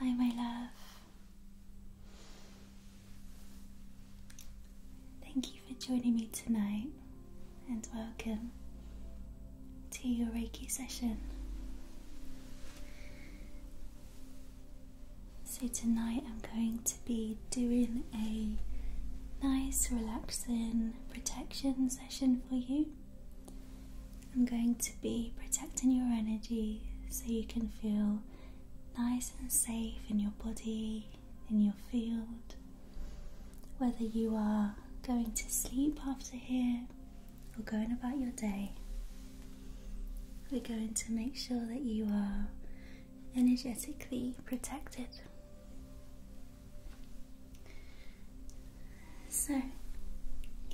Hi, my love. Thank you for joining me tonight and welcome to your Reiki session. So, tonight I'm going to be doing a nice, relaxing protection session for you. I'm going to be protecting your energy so you can feel nice and safe in your body, in your field. Whether you are going to sleep after here or going about your day, we're going to make sure that you are energetically protected. So,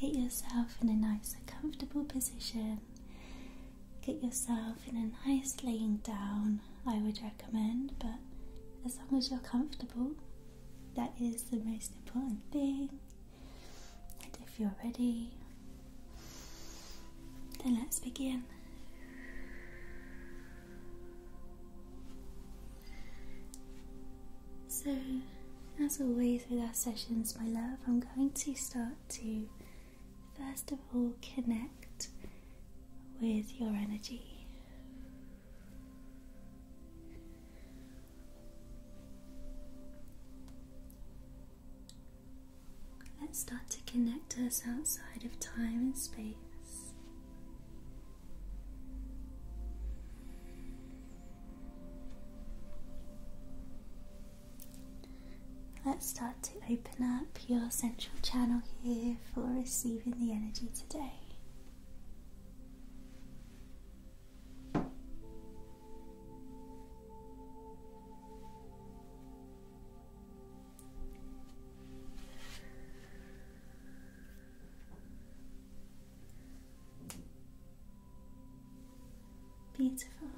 get yourself in a nice, comfortable position. Get yourself in a nice laying down, I would recommend, but as long as you're comfortable, that is the most important thing. And if you're ready, then let's begin. So, as always with our sessions, my love, I'm going to start to first of all connect with your energy. Let's start to connect us outside of time and space. Let's start to open up your central channel here for receiving the energy today. Beautiful.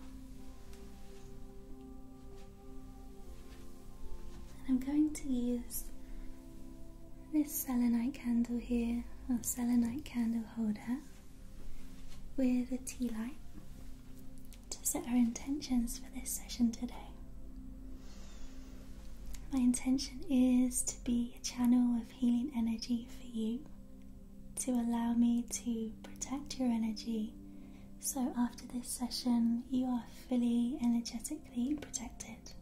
And I'm going to use this selenite candle here, or selenite candle holder, with a tea light to set our intentions for this session today. My intention is to be a channel of healing energy for you to allow me to protect your energy. So, after this session, you are fully energetically protected.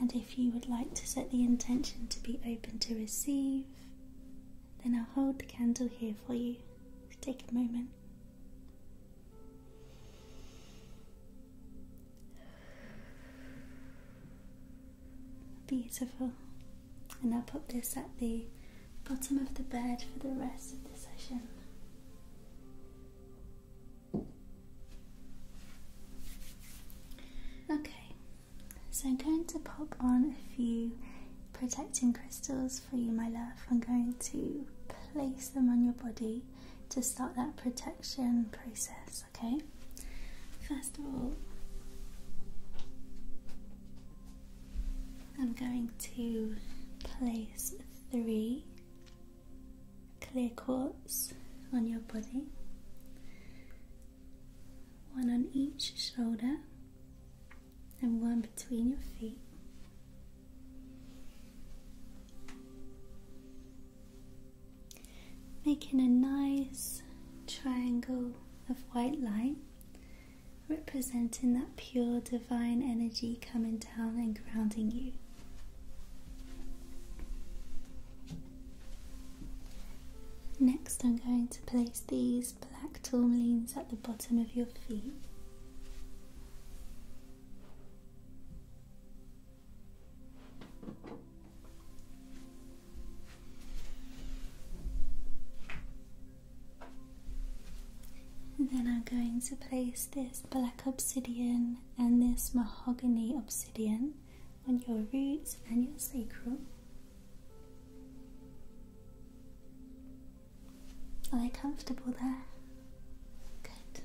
And if you would like to set the intention to be open to receive, then I'll hold the candle here for you. Take a moment. Beautiful. And I'll put this at the bottom of the bed for the rest of the session. Okay, so I'm going to pop on a few protecting crystals for you, my love. I'm going to place them on your body to start that protection process okay? First of all, I'm going to place three clear quartz on your body, one on each shoulder, and one between your feet. Making a nice triangle of white light, representing that pure divine energy coming down and grounding you. Next, I'm going to place these black tourmalines at the bottom of your feet. Then I'm going to place this black obsidian and this mahogany obsidian on your roots and your sacrum. Are they comfortable there? Good.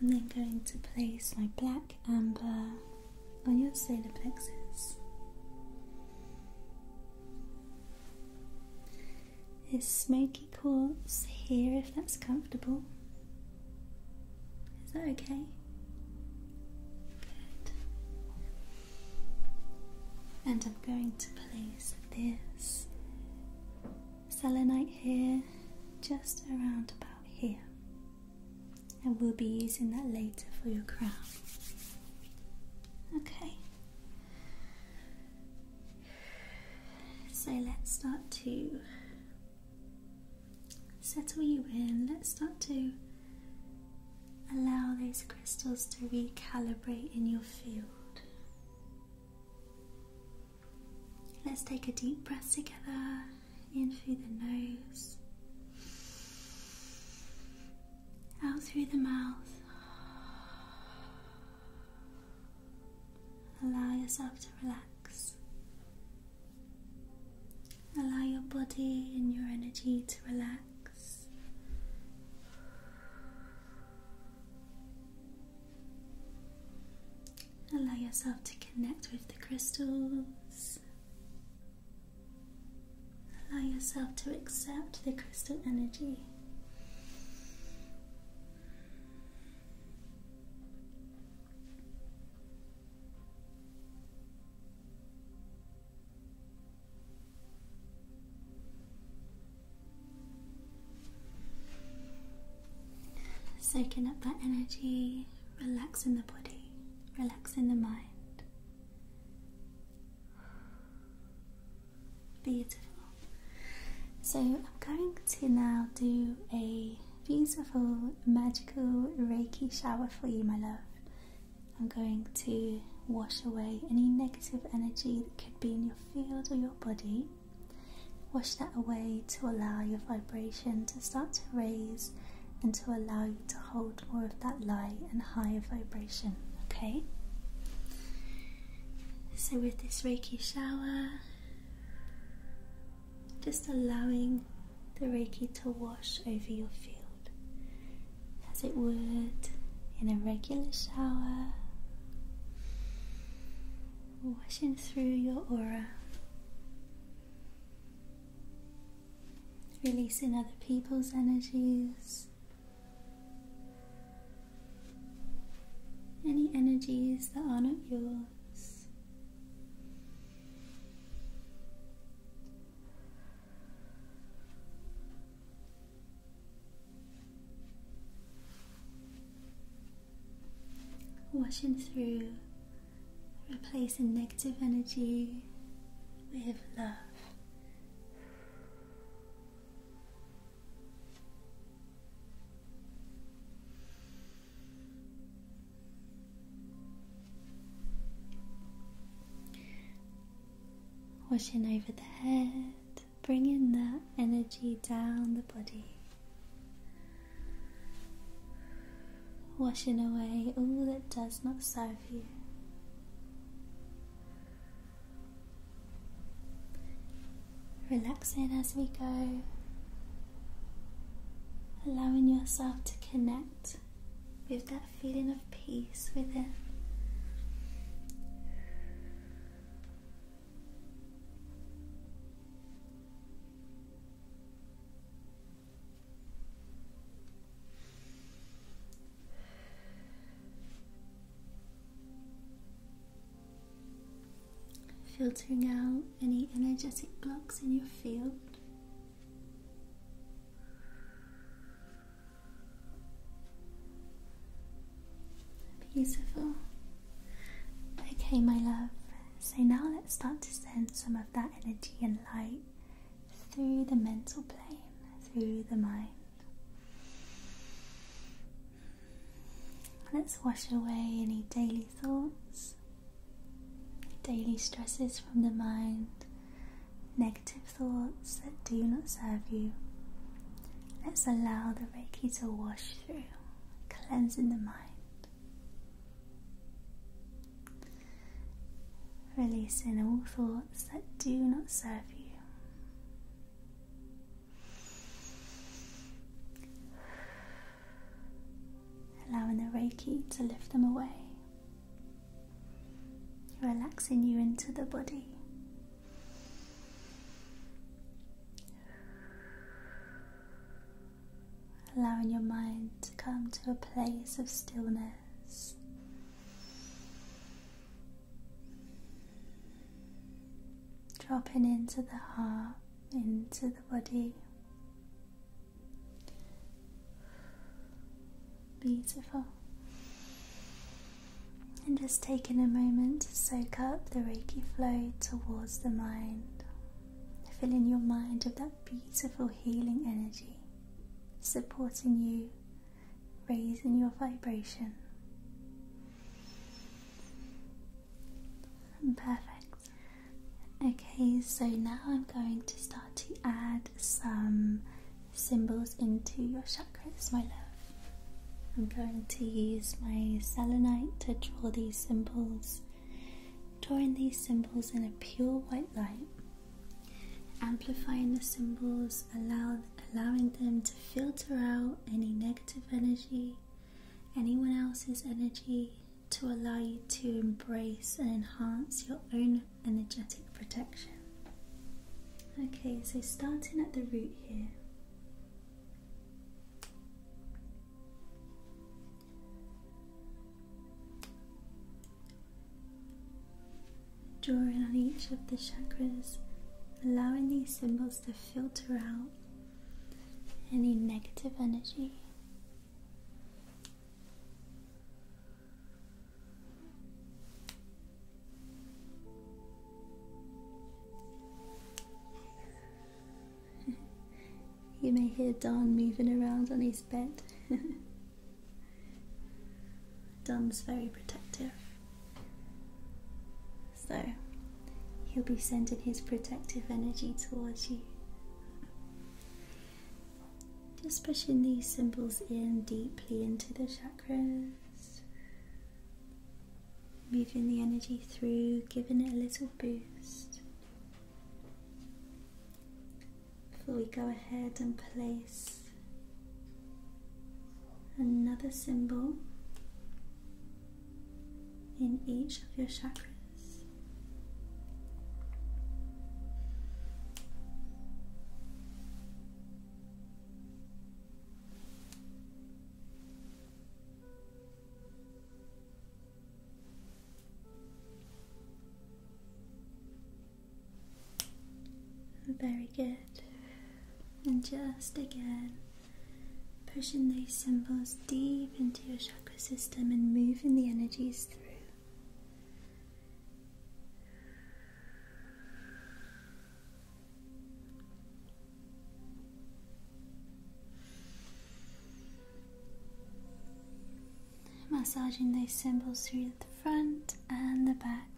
I'm then going to place my black amber uh, on your solar plexus is smoky quartz here if that's comfortable is that okay good and i'm going to place this selenite here just around about here and we'll be using that later for your crown. Okay, so let's start to settle you in. Let's start to allow those crystals to recalibrate in your field. Let's take a deep breath together in through the nose, out through the mouth. Allow yourself to relax. Allow your body and your energy to relax. Allow yourself to connect with the crystals. Allow yourself to accept the crystal energy. Soaking up that energy, relax in the body, relax in the mind. Beautiful. So, I'm going to now do a beautiful magical Reiki shower for you, my love. I'm going to wash away any negative energy that could be in your field or your body. Wash that away to allow your vibration to start to raise and to allow you to hold more of that light and higher vibration. Okay? So, with this Reiki shower, just allowing the Reiki to wash over your field as it would in a regular shower, washing through your aura releasing other people's energies, any energies that are not yours. Washing through replacing negative energy with love. Washing over the head, bringing that energy down the body washing away all that does not serve you. Relaxing as we go, allowing yourself to connect with that feeling of peace within. Filtering out any energetic blocks in your field. Beautiful. Okay, my love. So now let's start to send some that energy and light through the mental plane, through the mind. Let's wash away any daily thoughts, daily stresses from the mind, negative thoughts that do not serve you. Let's allow the Reiki to wash through, cleansing the mind. Releasing all thoughts that do not serve you. Allowing the Reiki to lift them away. Relaxing you into the body allowing your mind to come to a place of stillness. Dropping into the heart, into the body. Beautiful. And just taking a moment to soak up the Reiki flow towards the mind filling your mind with that beautiful healing energy supporting you, raising your vibration. Perfect. Okay, so now I'm going to start to add some symbols into your chakras, my love. I'm going to use my selenite to draw these symbols drawing these symbols in a pure white light, amplifying the symbols, allowing them to filter out any negative energy, anyone else's energy, to allow you to embrace and enhance your own energetic protection. Okay, so starting at the root here. Drawing on each of the chakras, allowing these symbols to filter out any negative energy. You may hear Don moving around on his bed. Don's very protective. So, he'll be sending his protective energy towards you. Just pushing these symbols in deeply into the chakras, moving the energy through, giving it a little boost before we go ahead and place another symbol in each of your chakras. Very good. And just again, pushing those symbols deep into your chakra system and moving the energies through massaging these symbols through the front and the back.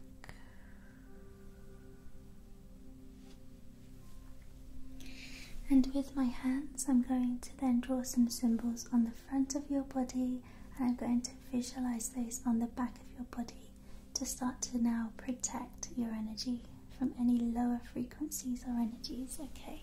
And with my hands, I'm going to then draw some symbols on the front of your body, and I'm going to visualize those on the back of your body to start to now protect your energy from any lower frequencies or energies, okay?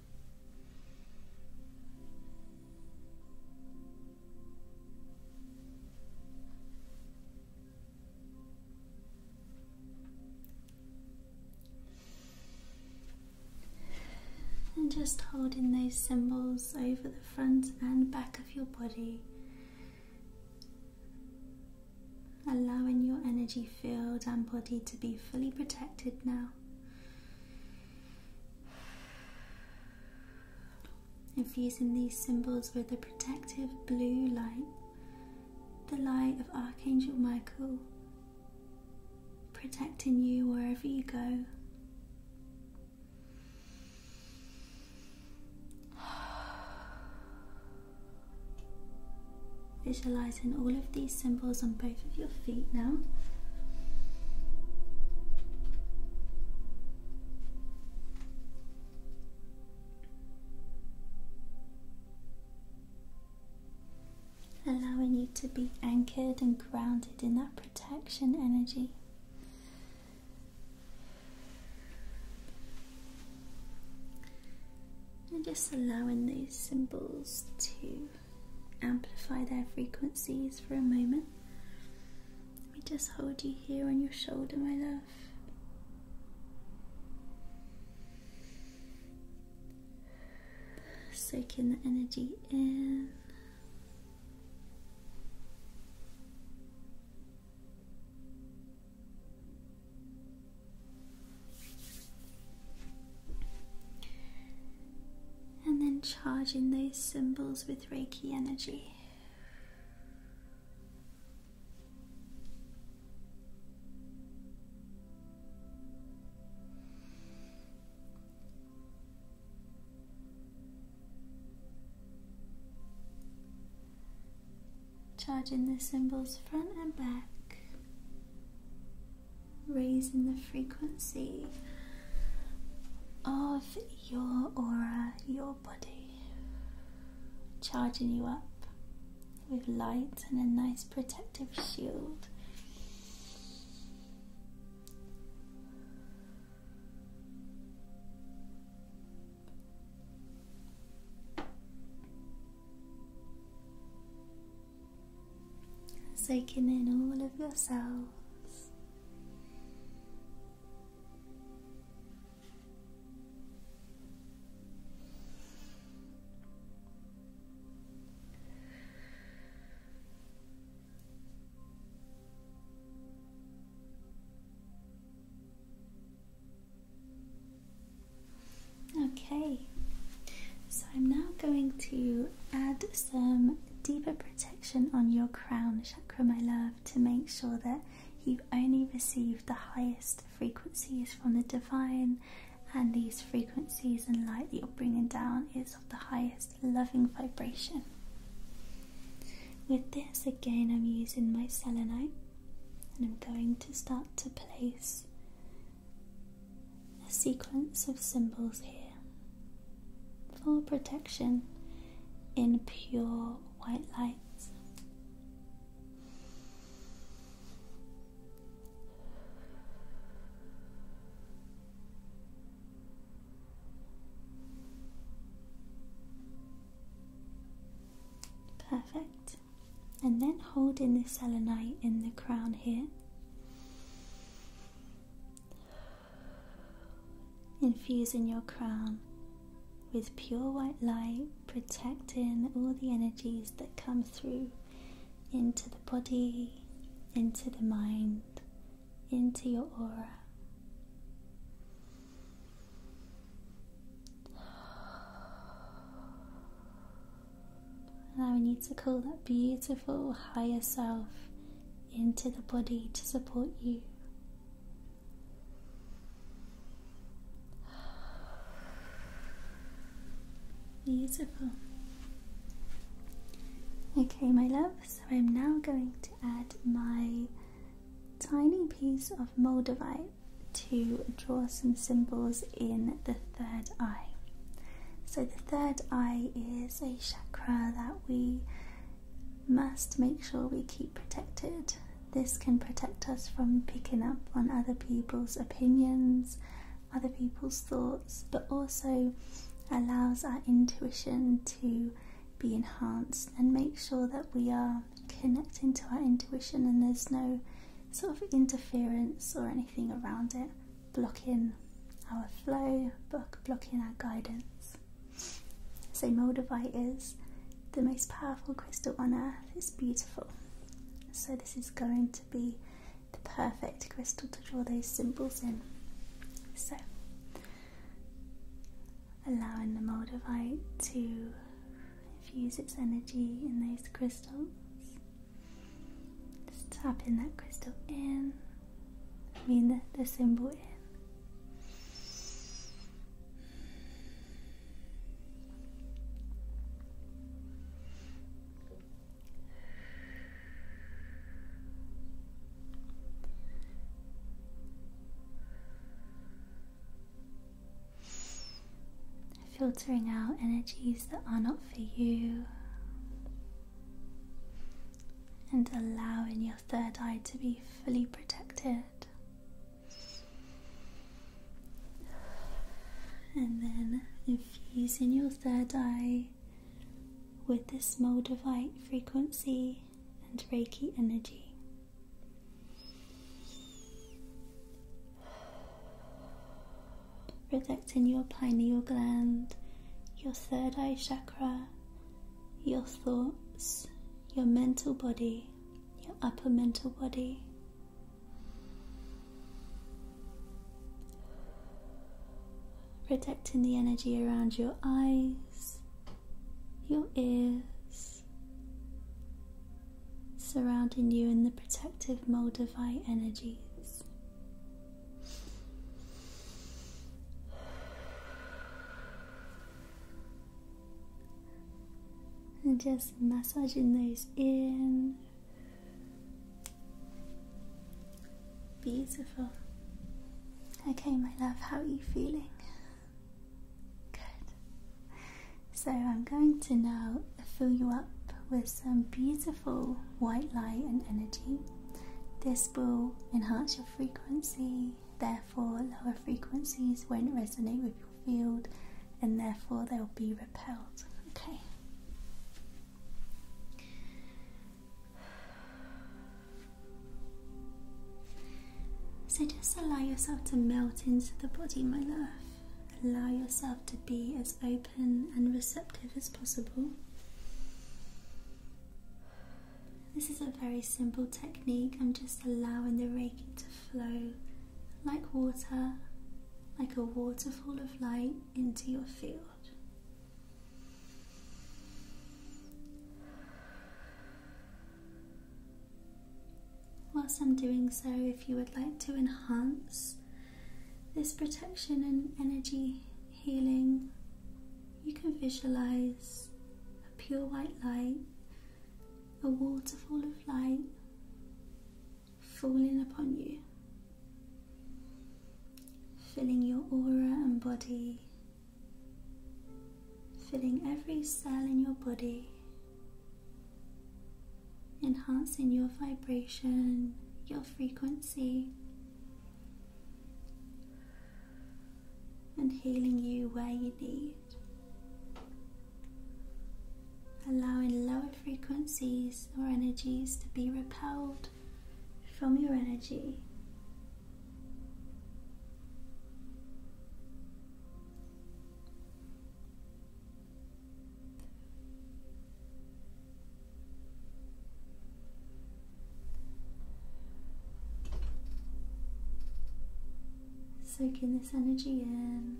And just holding those symbols over the front and back of your body, allowing your energy field and body to be fully protected now. Infusing these symbols with a protective blue light, the light of Archangel Michael, protecting you wherever you go. Visualizing all of these symbols on both of your feet now. Allowing you to be anchored and grounded in that protection energy. And just allowing those symbols to amplify their frequencies for a moment. Let me just hold you here on your shoulder, my love. Soaking the energy in. And then charging those symbols with Reiki energy. Charging the symbols front and back raising the frequency of your aura, your body, charging you up with light and a nice protective shield soaking in all of yourselves. Okay, so I'm now going to add some deeper protection on your crown chakra, my love, to make sure that you have only received the highest frequencies from the divine, and these frequencies and light that you're bringing down is of the highest loving vibration. With this, again, I'm using my selenite and I'm going to start to place a sequence of symbols here for protection in pure white light. Perfect. And then hold in the selenite in the crown here. Infusing your crown with pure white light, protecting all the energies that come through into the body, into the mind, into your aura. Allowing you to call that beautiful higher self into the body to support you. Beautiful. Okay, my love, so I'm now going to add my tiny piece of moldavite to draw some symbols in the third eye. So, the third eye is a chakra that we must make sure we keep protected. This can protect us from picking up on other people's opinions, other people's thoughts, but also allows our intuition to be enhanced and make sure that we are connecting to our intuition and there's no sort of interference or anything around it blocking our flow, blocking our guidance. So, Moldavite is the most powerful crystal on earth, it's beautiful. So, this is going to be the perfect crystal to draw those symbols in. So, allowing the Moldavite to infuse its energy in those crystals. Just tapping that crystal in. mean the symbol in. Filtering out energies that are not for you, and allowing your third eye to be fully protected. And then infusing your third eye with this moldavite frequency and Reiki energy protecting your pineal gland, your third eye chakra, your thoughts, your mental body, your upper mental body. Protecting the energy around your eyes, your ears, surrounding you in the protective Moldavite energies. And just massaging those in. Beautiful. Okay, my love, how are you feeling? Good. So, I'm going to now fill you up with some beautiful white light and energy. This will enhance your frequency, therefore, lower frequencies won't resonate with your field and therefore they'll be repelled. Okay. So just allow yourself to melt into the body, my love. Allow yourself to be as open and receptive as possible. This is a very simple technique. I'm just allowing the Reiki to flow like water, like a waterfall of light into your field. Whilst I'm doing so, if you would like to enhance this protection and energy healing, you can visualize a pure white light, a waterfall of light falling upon you, filling your aura and body, filling every cell in your body, enhancing your vibration, your frequency and healing you where you need. Allowing lower frequencies or energies to be repelled from your energy. Soaking this energy in.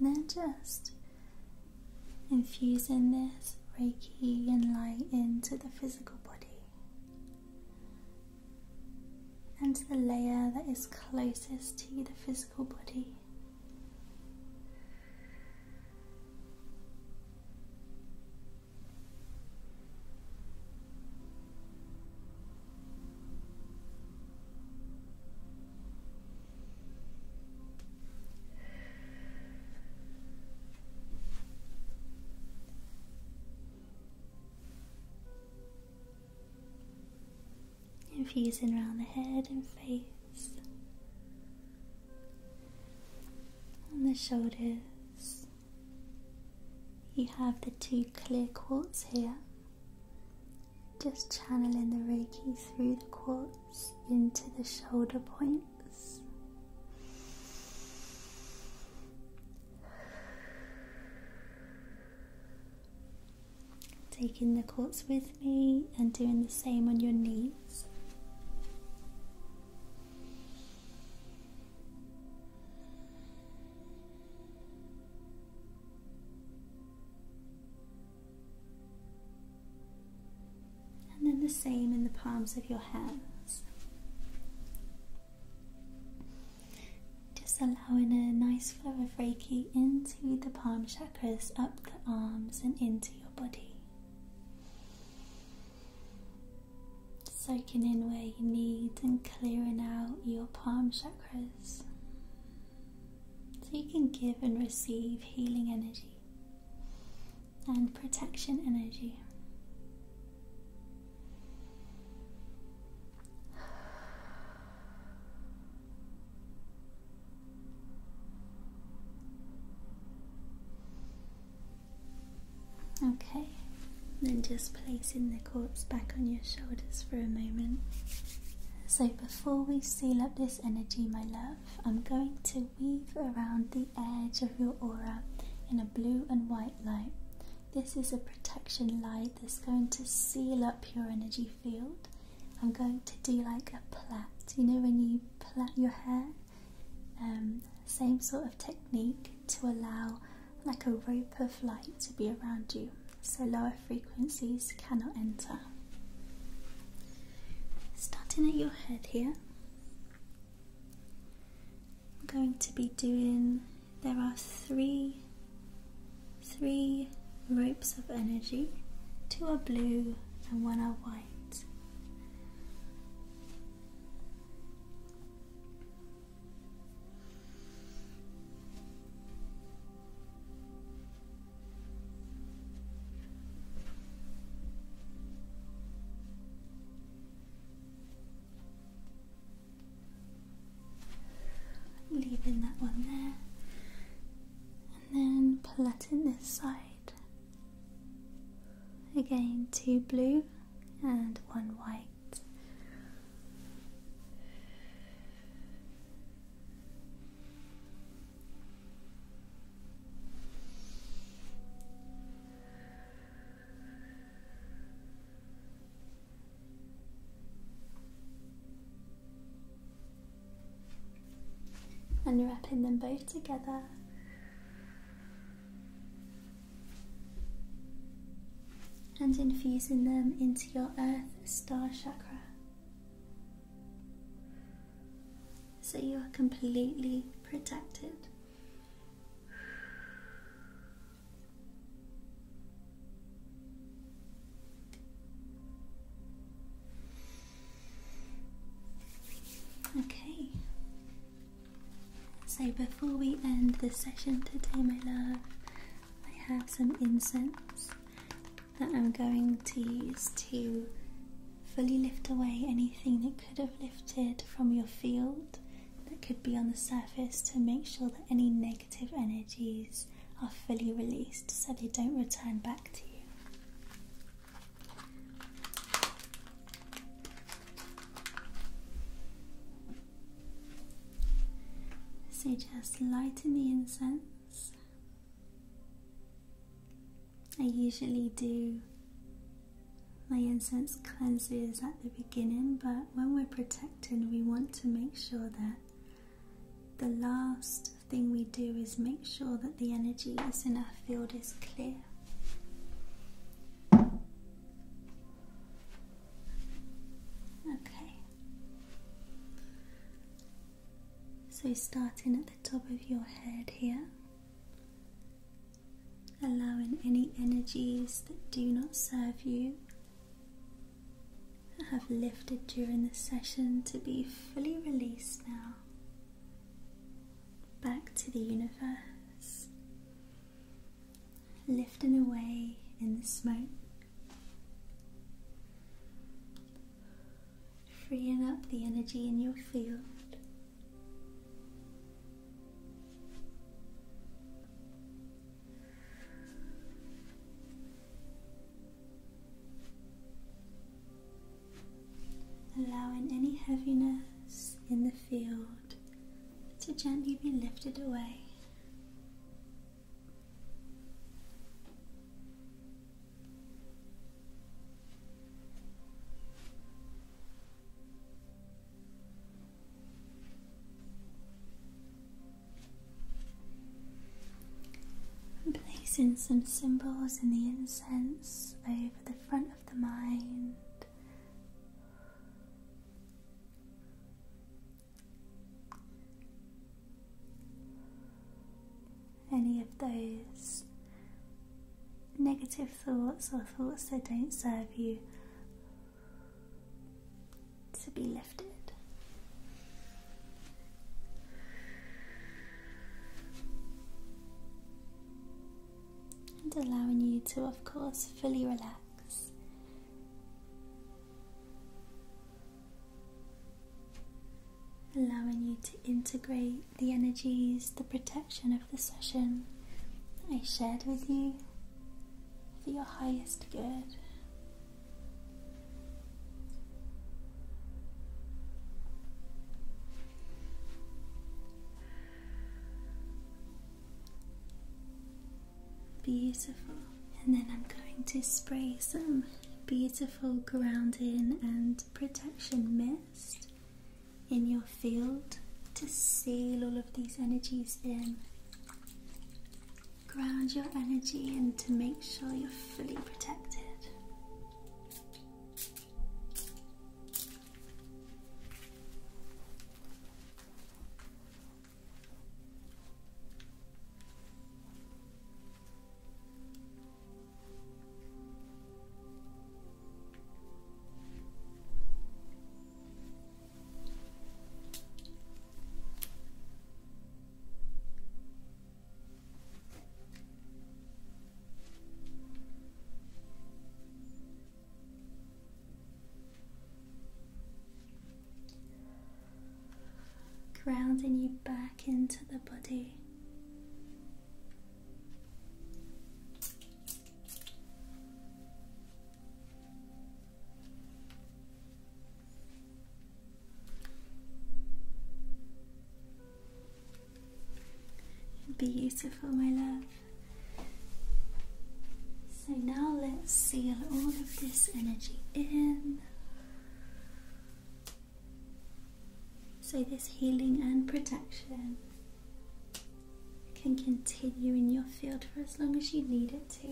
And then just infusing this Reiki and light into the physical body and the layer that is closest to the physical physical body infusing around the head and face, and the shoulders. You have the two clear quartz here, just channeling the Reiki through the quartz into the shoulder points. Taking the courts with me and doing the same on your knees. And then the same in the palms of your hands. Just allowing a nice flow of Reiki into the palm chakras, up the arms, and into your body. Soaking in where you need and clearing out your palm chakras so you can give and receive healing energy and protection energy. Okay, then just placing the corpse back on your shoulders for a moment. So, before we seal up this energy, my love, I'm going to weave around the edge of your aura in a blue and white light. This is a protection light that's going to seal up your energy field I'm going to do like a plait. You know when you plait your hair? Um, same sort of technique to allow like a rope of light to be around you so lower frequencies cannot enter. Starting at your head here, I'm going to be doing, there are three three ropes of energy. Two are blue and one are white. leaving that one there and then palette this side. Again, two blue and one white and wrapping them both together. And infusing them into your earth star chakra so you are completely protected. Okay. So before we end this session today, my love, I have some incense that I'm going to use to fully lift away anything that could have lifted from your field that could be on the surface to make sure that any negative energies are fully released so they don't return back to you. So just lighten the incense. I usually do my incense cleanses at the beginning, but when we're protecting, we want to make sure that the last thing we do is make sure that the energy that's in our field is clear. Okay. So, starting at the top of your head here, allowing any energies that do not serve you that have lifted during the session to be fully released now back to the universe, lifting away in the smoke. Freeing up the energy in your field. Allowing any heaviness in the field to gently be lifted away. Placing some symbols in the incense over the front of the mind. Any of those negative thoughts or thoughts that don't serve you to be lifted and allowing you to, of course, fully relax. Allowing you to integrate the energies, the protection of the session I shared with you for your highest good. Beautiful, and then I'm going to spray some beautiful grounding and protection mist in your field to seal all of these energies in. Ground your energy and to make sure you're fully protected. Grounding you back into the body. Beautiful, my love. So now let's seal all of this energy in. So this healing and protection can continue in your field for as long as you need it to.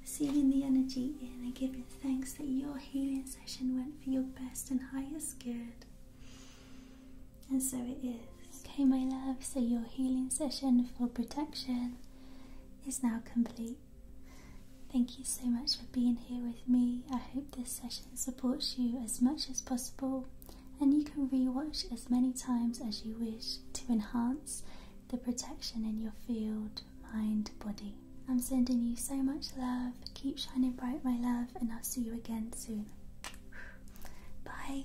Receiving the energy in and giving thanks that your healing session went for your best and highest good. And so it is. Okay, my love, so your healing session for protection is now complete. Thank you so much for being here with me. I hope this session supports you as much as possible and you can rewatch as many times as you wish to enhance the protection in your field, mind, body. I'm sending you so much love. Keep shining bright, my love, and I'll see you again soon. Bye.